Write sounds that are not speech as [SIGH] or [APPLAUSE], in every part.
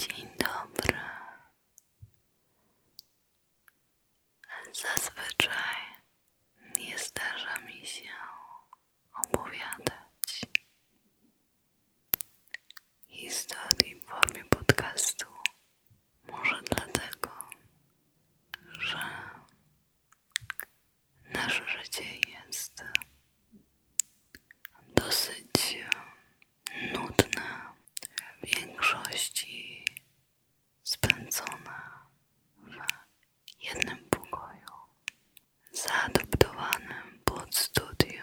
Dzień dobry. Zazwyczaj nie zdarza mi się opowiadać historii w formie podcastu. Może dlatego, że nasze życie jest dosyć nudna, w większości spędzona w jednym pokoju, zaadoptowanym pod studio,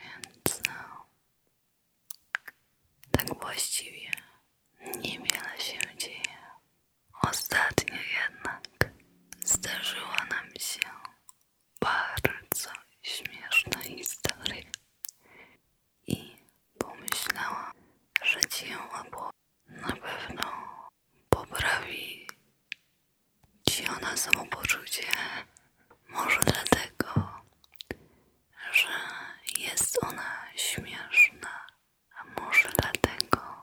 więc no, tak właściwie niewiele się dzieje. Ostatnio jednak zdarzyła nam się bardzo śmieszna historia i pomyślałam, że ci ją na pewno poprawi ci ona samopoczucie. Może dlatego, że jest ona śmieszna, a może dlatego,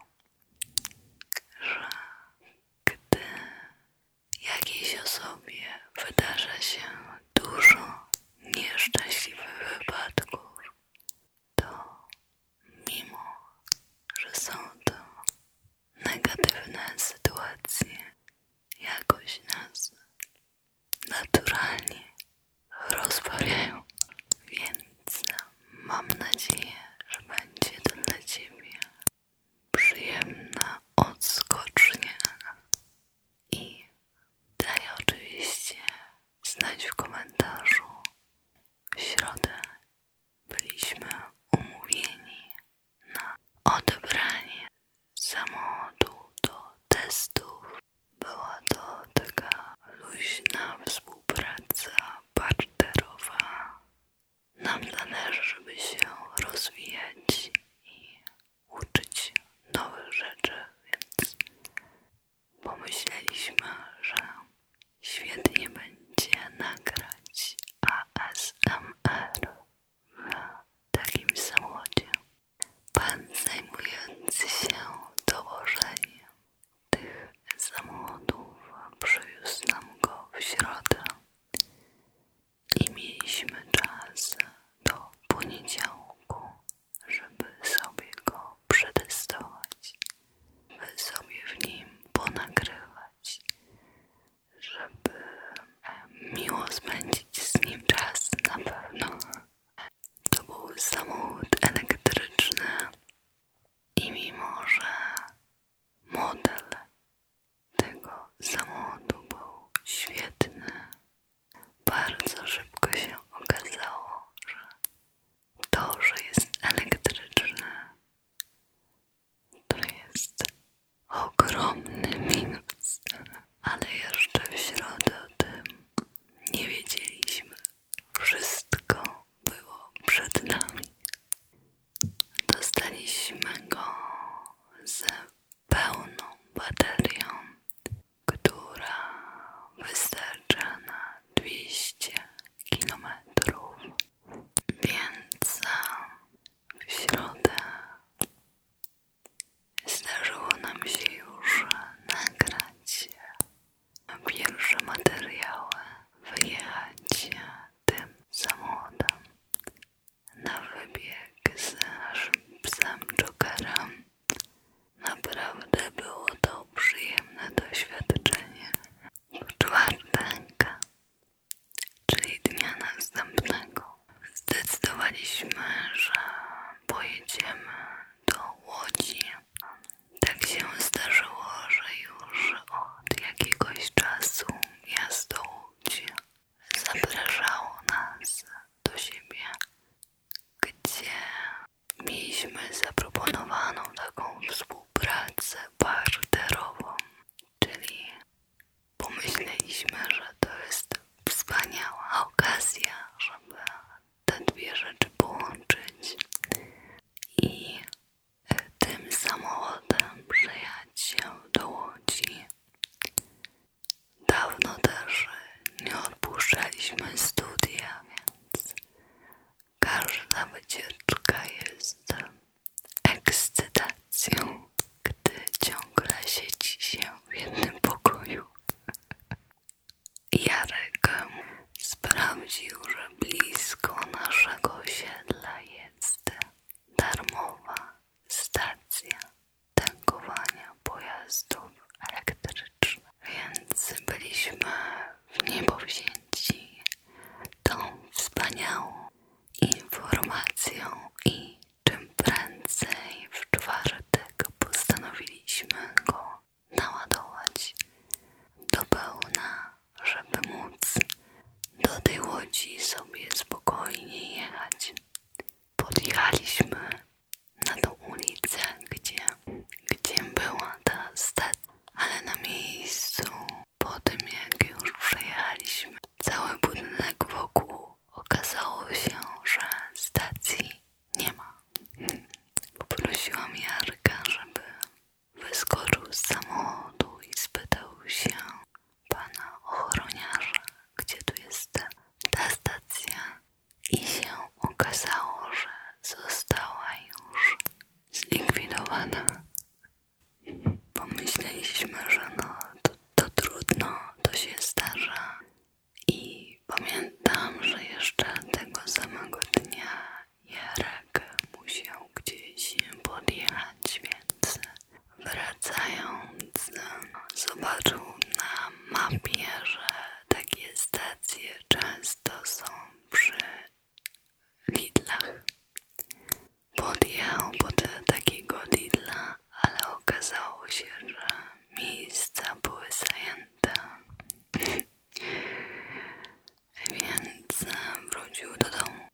że gdy jakiejś osobie wydarza się dużo nieszczęśliwych wypadków, to mimo, że są to negatywne sytuacje, jakoś nas naturalnie rozbawiają, więc mam nadzieję, że będzie to dla Ciebie przyjemna odskocznia i daj oczywiście znać w komentarzu. W środę byliśmy umówieni na odebranie samochodu do testów. Była to taka luźna współpraca partnerowa nam zależy, żeby się rozwijać i uczyć nowych rzeczy, więc pomyśleliśmy, że świetnie będzie nagrać ASMR w takim samochodzie. Pan zajmujący się dołożeniem tych samochodów przywiózł nam go w środę i mieliśmy czas do poniedziałku, żeby sobie go przetestować, by sobie w nim ponagrywać, żeby miło spędzić z nim czas na pewno. To był samochód elektryczny i mimo, że Model tego samochodu był świetny. Bardzo szybko się okazało, że to, że jest elektryczne, to jest ogromny minus, ale jeszcze w środę nie wiedzieliśmy. Wszystko było przed nami. Dostaliśmy go z pełną baterią, która wystarcza na 200 kilometrów, Więc w środę zdarzyło nam się już nagrać pierwsze materiały, wyjechać tym samochodem na wybieg z naszym psem Jokerem. Naprawdę było to przyjemne doświadczenie. W czwartek, czyli dnia następnego, zdecydowaliśmy, że pojedziemy do Łodzi. Tak się zdarzyło, że już od jakiegoś czasu miasto Łódź zapraszało nas do siebie, gdzie mieliśmy zaproponowaną taką współpracę barterową, czyli pomyśleliśmy, że to jest wspaniała okazja, żeby te dwie rzeczy połączyć i tym samochodem przyjechać się do Łodzi. Dawno też nie odpuszczaliśmy studia, więc każda wycieczka jest ekscytacją, gdy ciągle siedzi się w jednym pokoju. Jarek sprawdził, że blisko naszego osiedla jest darmowa stacja tankowania pojazdów elektrycznych, więc byliśmy w niebo wzięci tą wspaniałą informacją i tym prędzej w czwartek postanowiliśmy go naładować do pełna żeby móc do tej łodzi sobie spokojnie jechać. Podjechaliśmy na tą ulicę, gdzie, gdzie była ta stacja, ale na miejscu, po tym jak już przejechaliśmy cały budynek wokół, okazało się, że stacji nie ma. Hmm. Poprosiłam Jarka, żeby Wyskoczył z samochodu i spytał się pana ochroniarza, gdzie tu jest ta stacja. I się okazało, że została już zlikwidowana. Pomyśleliśmy, że no to, trudno, to się zdarza. I pamiętam, że jeszcze tego samego dnia Jarek musiał gdzieś podjechać, więc wracając no, zobaczył na mapie, że takie stacje często są przy Lidlach. Podjechał pod takiego Lidla, ale okazało się, że miejsca były zajęte. Więc wrócił do domu.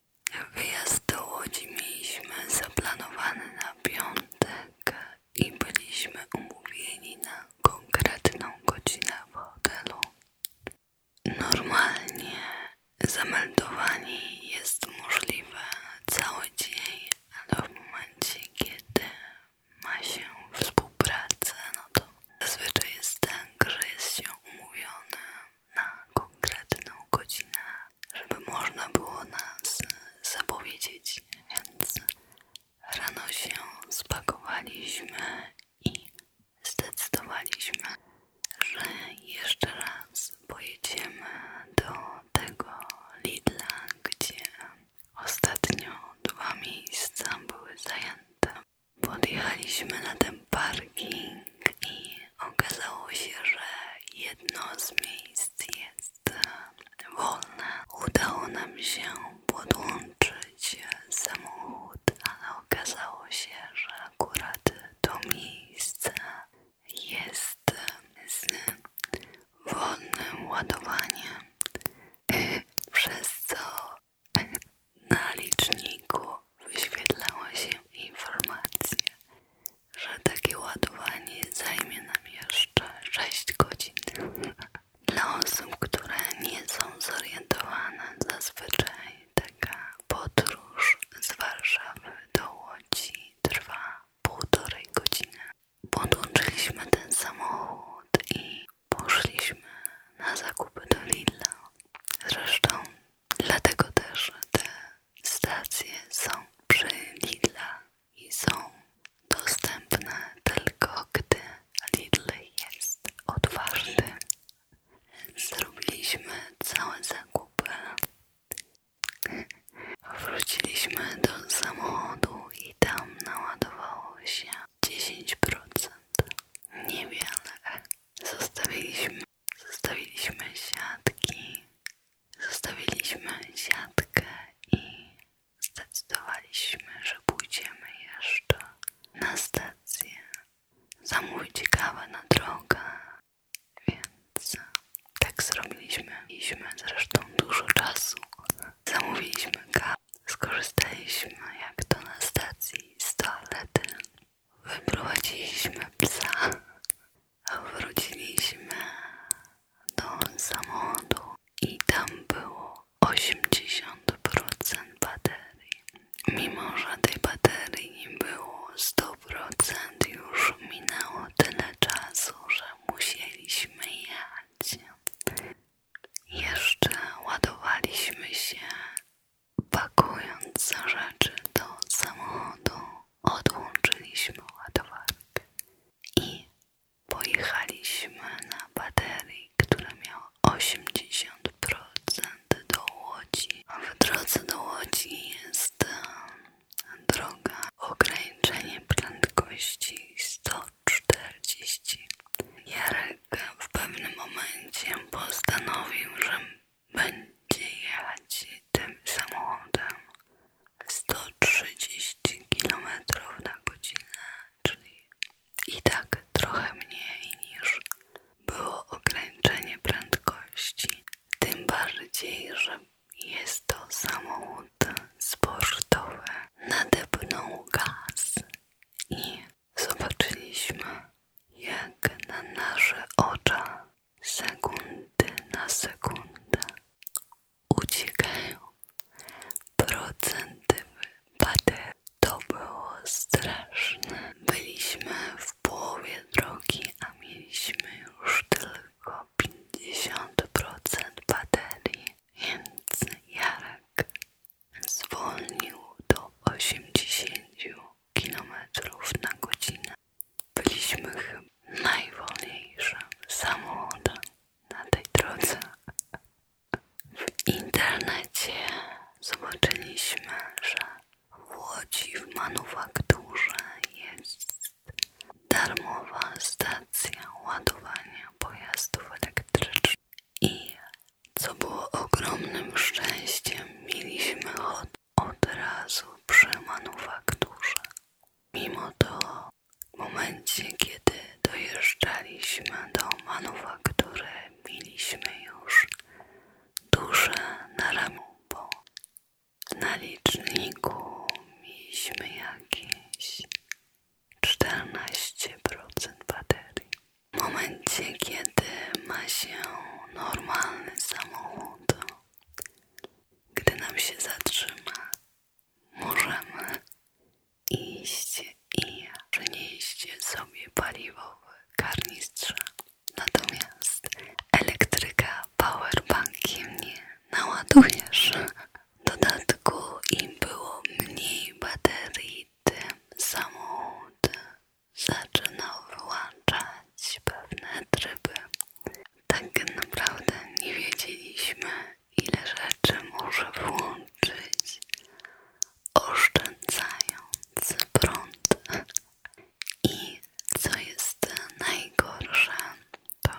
Wyjazd do Łodzi mieliśmy zaplanowany na piątek i byliśmy umówieni na konkretną godzinę w hotelu. Normalnie zameldowanie jest możliwe cały dzień, ale w momencie, kiedy ma się współpracę, no to zazwyczaj jest tak, że jest się umówione na konkretną godzinę, żeby można było nas zapowiedzieć, więc rano się spakowaliśmy i zdecydowaliśmy, że jeszcze raz pojedziemy do tego Lidla, gdzie ostatnio dwa miejsca były zajęte Podjechaliśmy na ten parking i okazało się, że jedno z miejsc jest wolne. Udało nam się podłączyć samochód, ale okazało się, że akurat to miejsce jest z wolnym ładowaniem, [LAUGHS] przez co na liczniku wyświetlała się informacja, że takie ładowanie zajmie nam jeszcze 6 godzin. [LAUGHS] Dla osób, które nie są zorientowane, zazwyczaj taka podróż z Warszawy do Łodzi trwa półtorej godziny. Podłączyliśmy ten samochód i poszliśmy na zakupy do Lidla. Zresztą Dlatego też te stacje są przy Lidla i są dostępne tylko gdy Lidl jest otwarty. Zrobiliśmy całe zakupy. Wróciliśmy do samochodu i tam naładowało się 10%. Niewiele. Zostawiliśmy Zostawiliśmy siatki, zostawiliśmy siatkę i zdecydowaliśmy, że pójdziemy jeszcze na stację zamówić kawę na drogę, więc tak zrobiliśmy. Mieliśmy zresztą dużo czasu. Zamówiliśmy kawę, skorzystaliśmy jak to na stacji z toalety, Wyprowadziliśmy psa, wróciliśmy do samochodu i tam było 80% baterii. Mimo, że tej baterii nie było 100%, już minęło tyle czasu, że musieliśmy jechać. Jeszcze ładowaliśmy się Pakując za rzeczy do samochodu, odłączyliśmy ładowarkę i pojechaliśmy na baterii, która miała 80% do Łodzi. w drodze do Łodzi jest droga ograniczenie prędkości 140. Jarek w pewnym momencie postanowił, że będzie jechać tym samochodem 130 km na godzinę, czyli i tak trochę mniej niż było ograniczenie prędkości. Tym bardziej, że jest to samochód sportowy. Nadepnął gaz i zobaczyliśmy jak na nasze oczach sekundy na sekundę uciekają procenty baterii. To było straszne. Byliśmy w połowie drogi, a mieliśmy już tylko 50% baterii, więc Jarek zwolnił do 80% kilometrów na godzinę. Byliśmy chyba najwolniejszym samochodem na tej drodze. W internecie zobaczyliśmy, że w Łodzi w manufakturze jest darmowa stacja ładowania pojazdów elektrycznych i co było ogromnym szczęściem, mieliśmy hot od razu przy manufakturze. Mimo to, w momencie, kiedy dojeżdżaliśmy do manufaktury, mieliśmy już duże na ramieniu, bo na liczniku mieliśmy jakieś 14% baterii. W momencie, kiedy ma się normalny samochód. Gdy nam się zatrzyma, możemy iść i przynieść sobie paliwowe karnistrze. Natomiast elektryka powerbankiem nie naładujesz. W dodatku im było mniej baterii, tym samochód zaczynał wyłączać pewne tryby. Tak naprawdę nie wiedzieliśmy, ile rzeczy może włączyć, oszczędzając prąd. I co jest najgorsze, to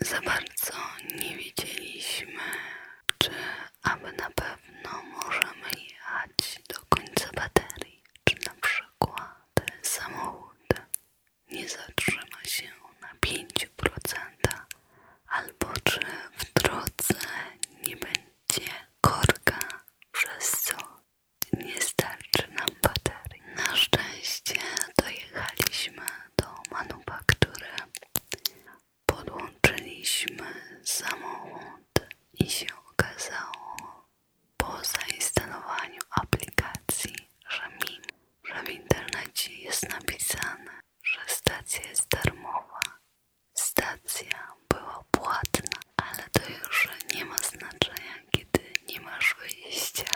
za bardzo nie wiedzieliśmy, czy aby na pewno pewno możemy jechać do końca baterii, czy na przykład samochód nie zatrzyma się na 5% albo czy w drodze nie będzie korka, przez co nie starczy nam baterii. Na szczęście dojechaliśmy do manufaktury, podłączyliśmy samochód i się okazało po zainstalowaniu aplikacji, że mi, że w internecie jest napisane, że stacja jest darmowa. Stacja była płatna, ale to już nie ma znaczenia, kiedy nie masz wyjścia.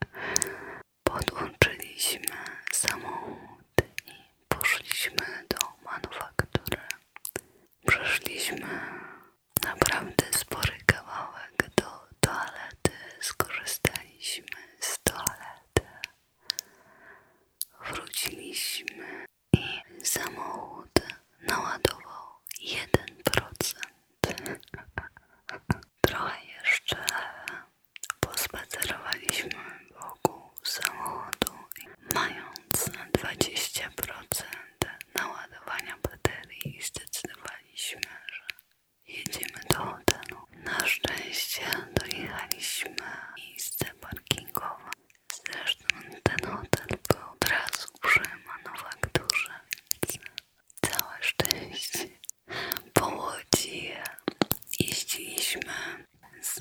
[LAUGHS] Podłączyliśmy samochód i poszliśmy do manufaktury. Przeszliśmy naprawdę spory kawałek do toalety, skorzystaliśmy z toalety, wróciliśmy i samochód naładował 1%. Trochę jeszcze pospacerowaliśmy wokół samochodu, mając na 20% naładowania baterii, zdecydowaliśmy, że jedziemy do hotelu. Na szczęście dojechaliśmy do miejsce parkingowe. Zresztą ten hotel był od razu przy manufakturze, więc całe szczęście. Po Łodzi jeździliśmy z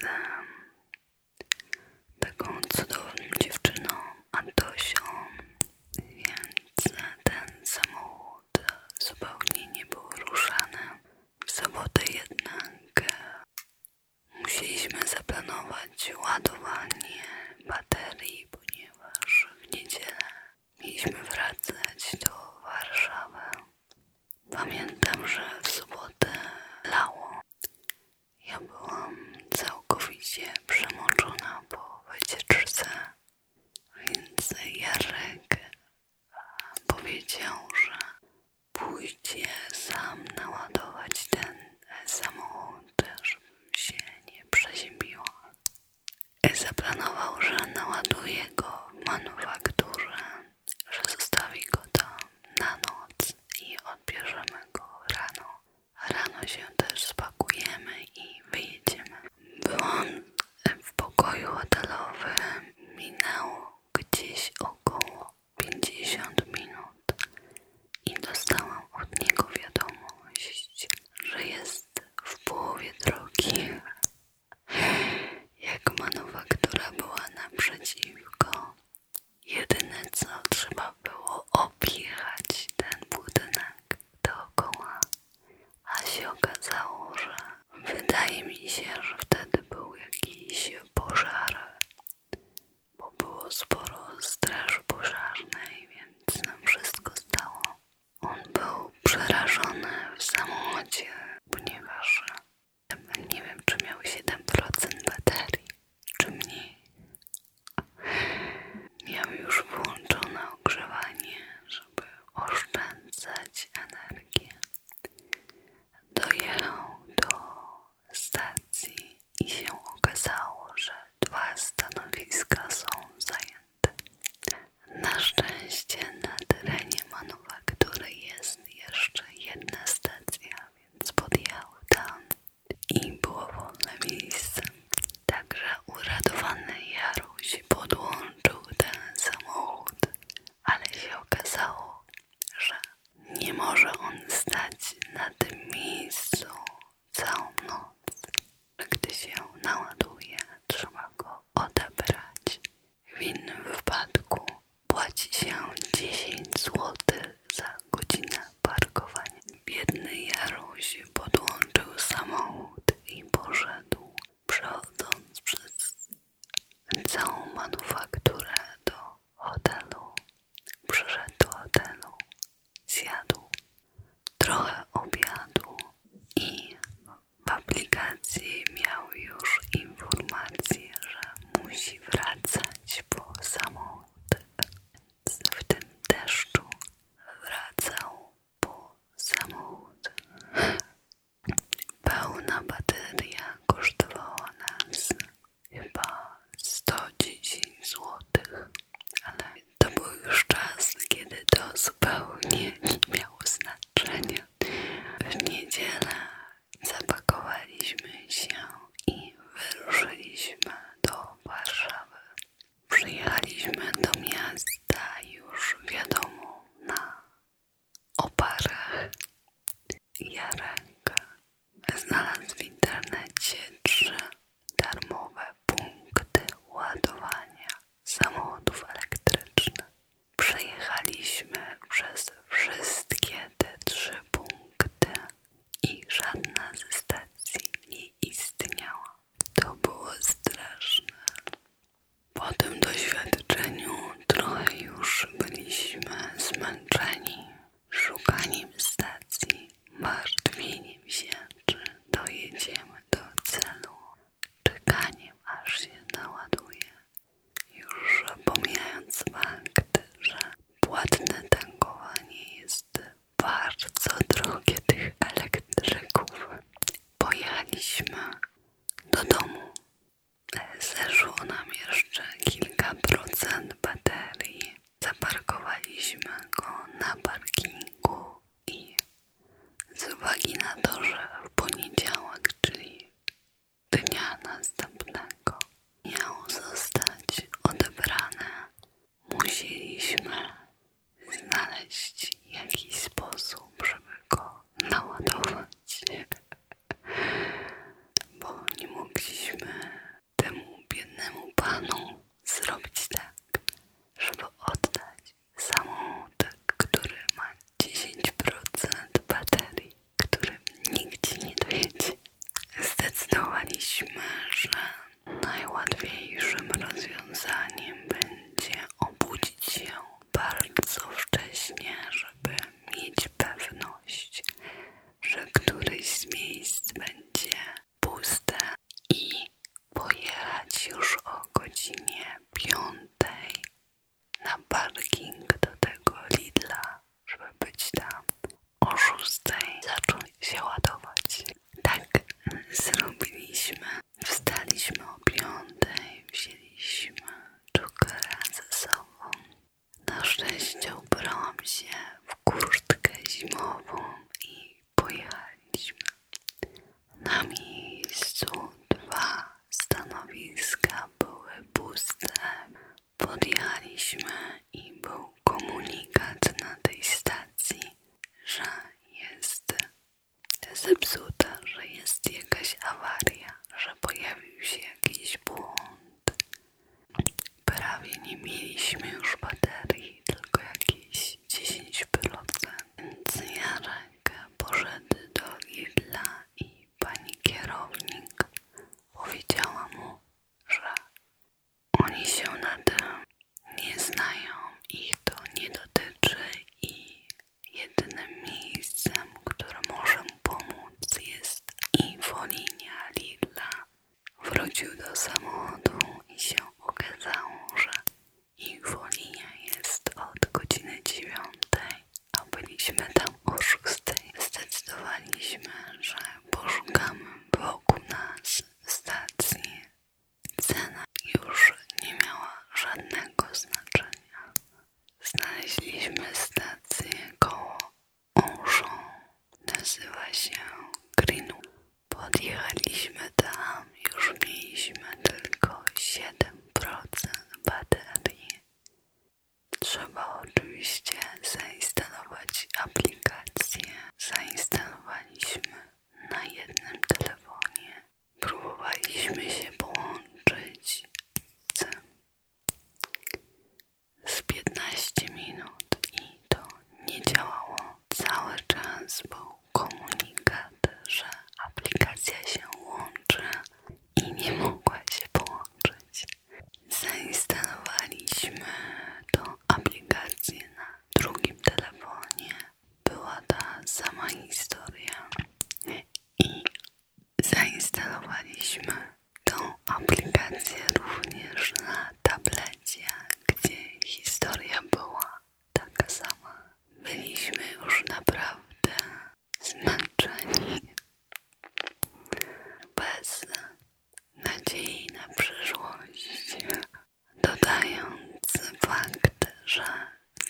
taką cudowną dziewczyną Antosią, więc ten samochód zupełnie nie był ruszany. W sobotę jednak musieliśmy zaplanować ładowanie baterii, ponieważ w niedzielę mieliśmy wracać do Warszawy. Pamiętam, że w sobotę lało, ja byłam całkowicie przemoczona po wycieczce, więc Jarek powiedział, że pójdzie sam naładować ten samochód, żebym się nie przeziębiła. Zaplanował, że naładuje go w manufakturze, że zostawi go tam na noc i odbierzemy go rano. Rano się też spakujemy i wyjedziemy. Byłam w pokoju hotelowym, minęło gdzieś około 50 minut i dostałam od niego wiadomość, że jest w połowie drogi. Jak manufaktura była naprzeciwko, Jedyne co trzeba było objechać ten budynek dookoła, a się okazało, że wydaje mi się, że wtedy był jakiś pożar, bo było sporo straży pożarnej, więc nam wszystko stało. On był przerażony w samochodzie, ponieważ nie wiem czy miał 7% baterii, czy mniej. Miał już włączone ogrzewanie, żeby oszczędzać energię. Dojechał do stacji i się okazało, że dwa stanowiska są zajęte. Na szczęście na terenie manufaktury jest jeszcze jedna stacja więc podjął tam i było wolne miejsce. Także uradowany Jaruś podłączył ten samochód, ale się okazało, że nie może on stać na tym miejscu całą noc. Gdy się naładuje, trzeba go odebrać. W innym wypadku Płaci się 10 zł za godzinę parkowania. Biedny Jaruś podłączył samochód i poszedł, przechodząc przez całą manufakturę do hotelu. Przyszedł do hotelu, zjadł trochę obiadu i w aplikacji miał już informację, że musi wracać po samochód, w tym deszczu wracał po samochód. Pełna bateria kosztowała nas chyba 110 zł, ale to był już czas, kiedy to zupełnie nie miało znaczenia. W niedzielę Zapakowaliśmy się i wyruszyliśmy do Warszawy. Przyjechaliśmy do miasta już wiadomo na oparach. Jarek znalazł w internecie trzy darmowe punkty ładowania samochodów elektrycznych. Przejechaliśmy przez wszystkie te trzy punkty i żadna ze stacji nie istniała. To było straszne. Po tym doświadczeniu trochę już byliśmy zmęczeni szukaniem stacji, martwieniem się, czy dojedziemy do celu, czekaniem aż się naładuje. Już pomijając fakt, że płatne tankowanie jest bardzo drogie tych elektryków. Pojechaliśmy do domu. Zeszło nam jeszcze kilka procent baterii. Zaparkowaliśmy go na parkingu i z uwagi na to, że w poniedziałek, czyli dnia następnego miało zostać odebrane, musieliśmy znaleźć jakiś sposób, żeby go naładować, bo nie mogliśmy temu biednemu panu zrobić tak, żeby oddać samochód, który ma 10% baterii którym nigdzie nie dojedzie. Zdecydowaliśmy, że najłatwiejszym rozwiązaniem będzie obudzić się bardzo wcześnie, żeby mieć pewność, że któryś z miejsc będzie puste i pojechać już o godzinie piątej na parking do tego Lidla żeby być tam o 6 zacząć się ładować. Tak zrobiliśmy. Wstaliśmy o 5, wzięliśmy czukera ze sobą. Na szczęście ubrałam się w kurtkę zimową i pojechaliśmy. Na miejscu dwa stanowiska były puste. Podjechaliśmy i był komunikat na tej stacji, że jest zepsuta, że jest jakaś awaria, że pojawił się jakiś błąd. Prawie nie mieliśmy już baterii, tylko jakieś 10%. Więc Jarek poszedł do Lidla i pani kierownik powiedziała mu, że oni się na tym nie znają, ich to nie dotyczy i jedynym miejscem, które może pomóc jest infolinia Lidla. Wrócił do samochodu i się okazało, że infolinia jest od godziny dziewiątej, a byliśmy tam o 6 zdecydowaliśmy, że poszukamy wokół nas stacji. Cena już nie miała żadnego znaczenia. Znaleźliśmy stację koło Auchan. Nazywa się Grinu. Podjechaliśmy tam, i już mieliśmy tylko 7% baterii. Trzeba oczywiście zainstalować aplikację. Zainstalowaliśmy na jednym telefonie. Próbowaliśmy się połączyć z 15 minut i to nie działało. Cały czas był komunikat, że aplikacja się łączy i nie mogła się połączyć. Zainstalowaliśmy tą aplikację na drugim telefonie. Była ta sama historia. I zainstalowaliśmy tą aplikację również na tablecie, gdzie historia była taka sama. Byliśmy już naprawdę zmęczeni bez nadziei na przyszłość, dodając fakt, że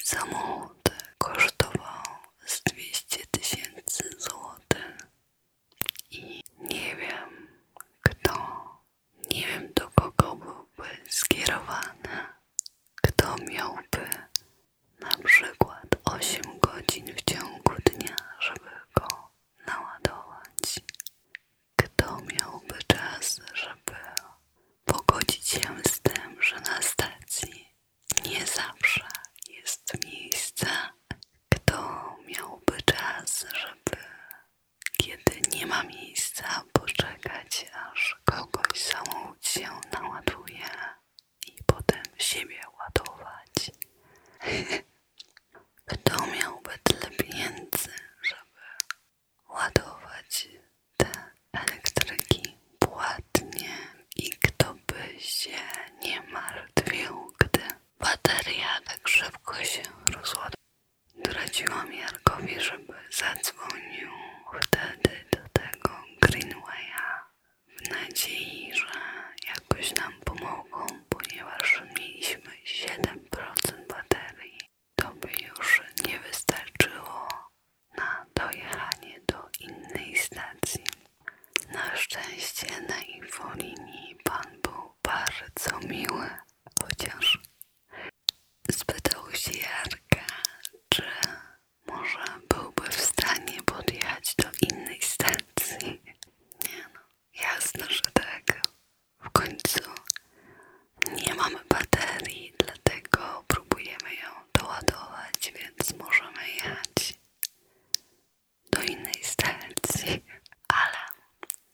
samochód kosztował z 200 tysięcy złotych i nie wiem kto, nie wiem do kogo byłby skierowany, kto miałby na przykład 8 godzin w ciągu dnia, żeby go naładować. Kto miałby czas, żeby pogodzić się z tym, że na stacji nie zawsze jest miejsca. Kto miałby czas, żeby kiedy nie ma miejsca, poczekać, aż kogoś samochód się naładuje i potem siebie ładować? [LAUGHS] Kto miałby tyle pieniędzy, żeby ładować te elektryki płatnie i kto by się nie martwił, gdy bateria tak szybko się rozładowała? Doradziłam Jarkowi, żeby zadzwonił wtedy do tego Greenwaya w nadziei, że jakoś nam pomoże drogą, ponieważ mieliśmy 7% baterii. To by już nie wystarczyło na dojechanie do innej stacji. Na szczęście na infolinii pan był bardzo miły, chociaż spytał się Jarka, czy może byłby w stanie podjechać do innej stacji. Nie no, Jasne, że tak. W końcu nie mamy baterii, dlatego próbujemy ją doładować, więc możemy jechać do innej stacji. Ale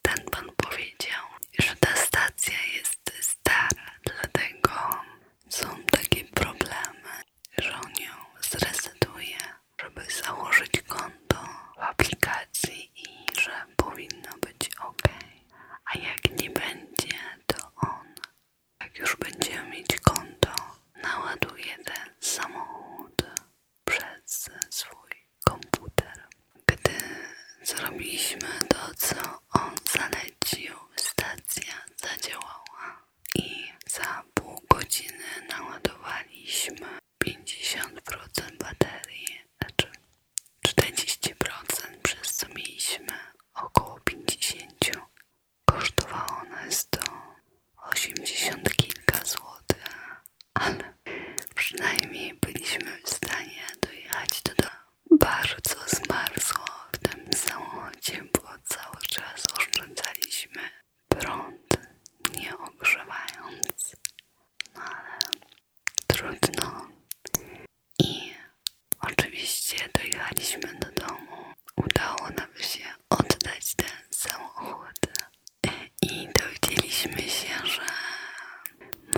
ten pan powiedział, że ta stacja jest stara, dlatego są takie problemy, że on ją zresetuje żeby założyć konto w aplikacji i że powinno być ok. A jak nie będzie, to on, jak już będziemy mieć konto, naładuje ten samochód przez swój komputer. Gdy zrobiliśmy to, co on zalecił, stacja zadziałała i za pół godziny naładowaliśmy 50% baterii, znaczy 40% przez co mieliśmy około 50. Kosztowała nas to 80 kilka złotych, ale przynajmniej byliśmy w stanie dojechać do domu. Bardzo zmarzło w tym samochodzie, bo cały czas oszczędzaliśmy prąd, nie ogrzewając, no ale trudno. I oczywiście dojechaliśmy do domu. Udało nam się oddać ten samochód i dowiedzieliśmy się, że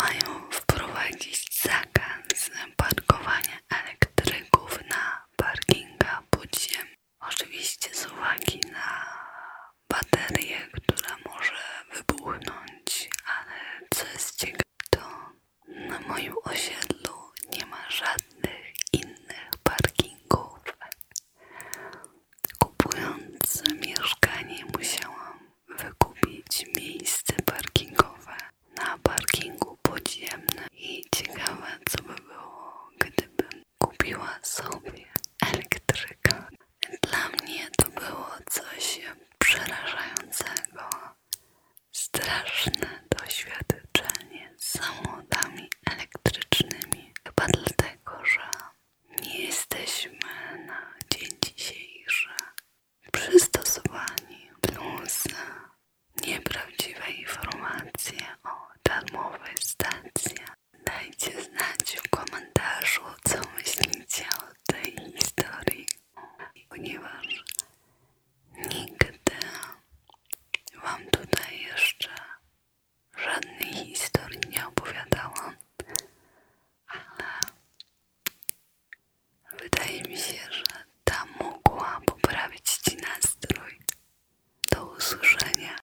mają wprowadzić zakaz parkowania elektryków na parkingu, podziemnych. Oczywiście z uwagi na baterię, która może wybuchnąć, ale co jest ciekawe, to na moim osiedlu nie ma żadnych innych parkingów. Kupując mieszkanie musiałam wykupić miejsce parkingowe na parkingu podziemnym i ciekawe co by było, gdybym kupiła sobie elektryka. Dla mnie to było coś przerażającego. Straszne doświadczenie z samochodami elektrycznymi. Chyba dlatego, że nie jesteśmy na dzień dzisiejszy przystosowani plus nieprawdziwe informacje o darmowej stacji Dajcie znać w komentarzu, co myślicie o tej historii, ponieważ nigdy Wam tutaj jeszcze żadnej historii nie opowiadałam, ale wydaje mi się, że ta mogła poprawić Ci nastrój. Do usłyszenia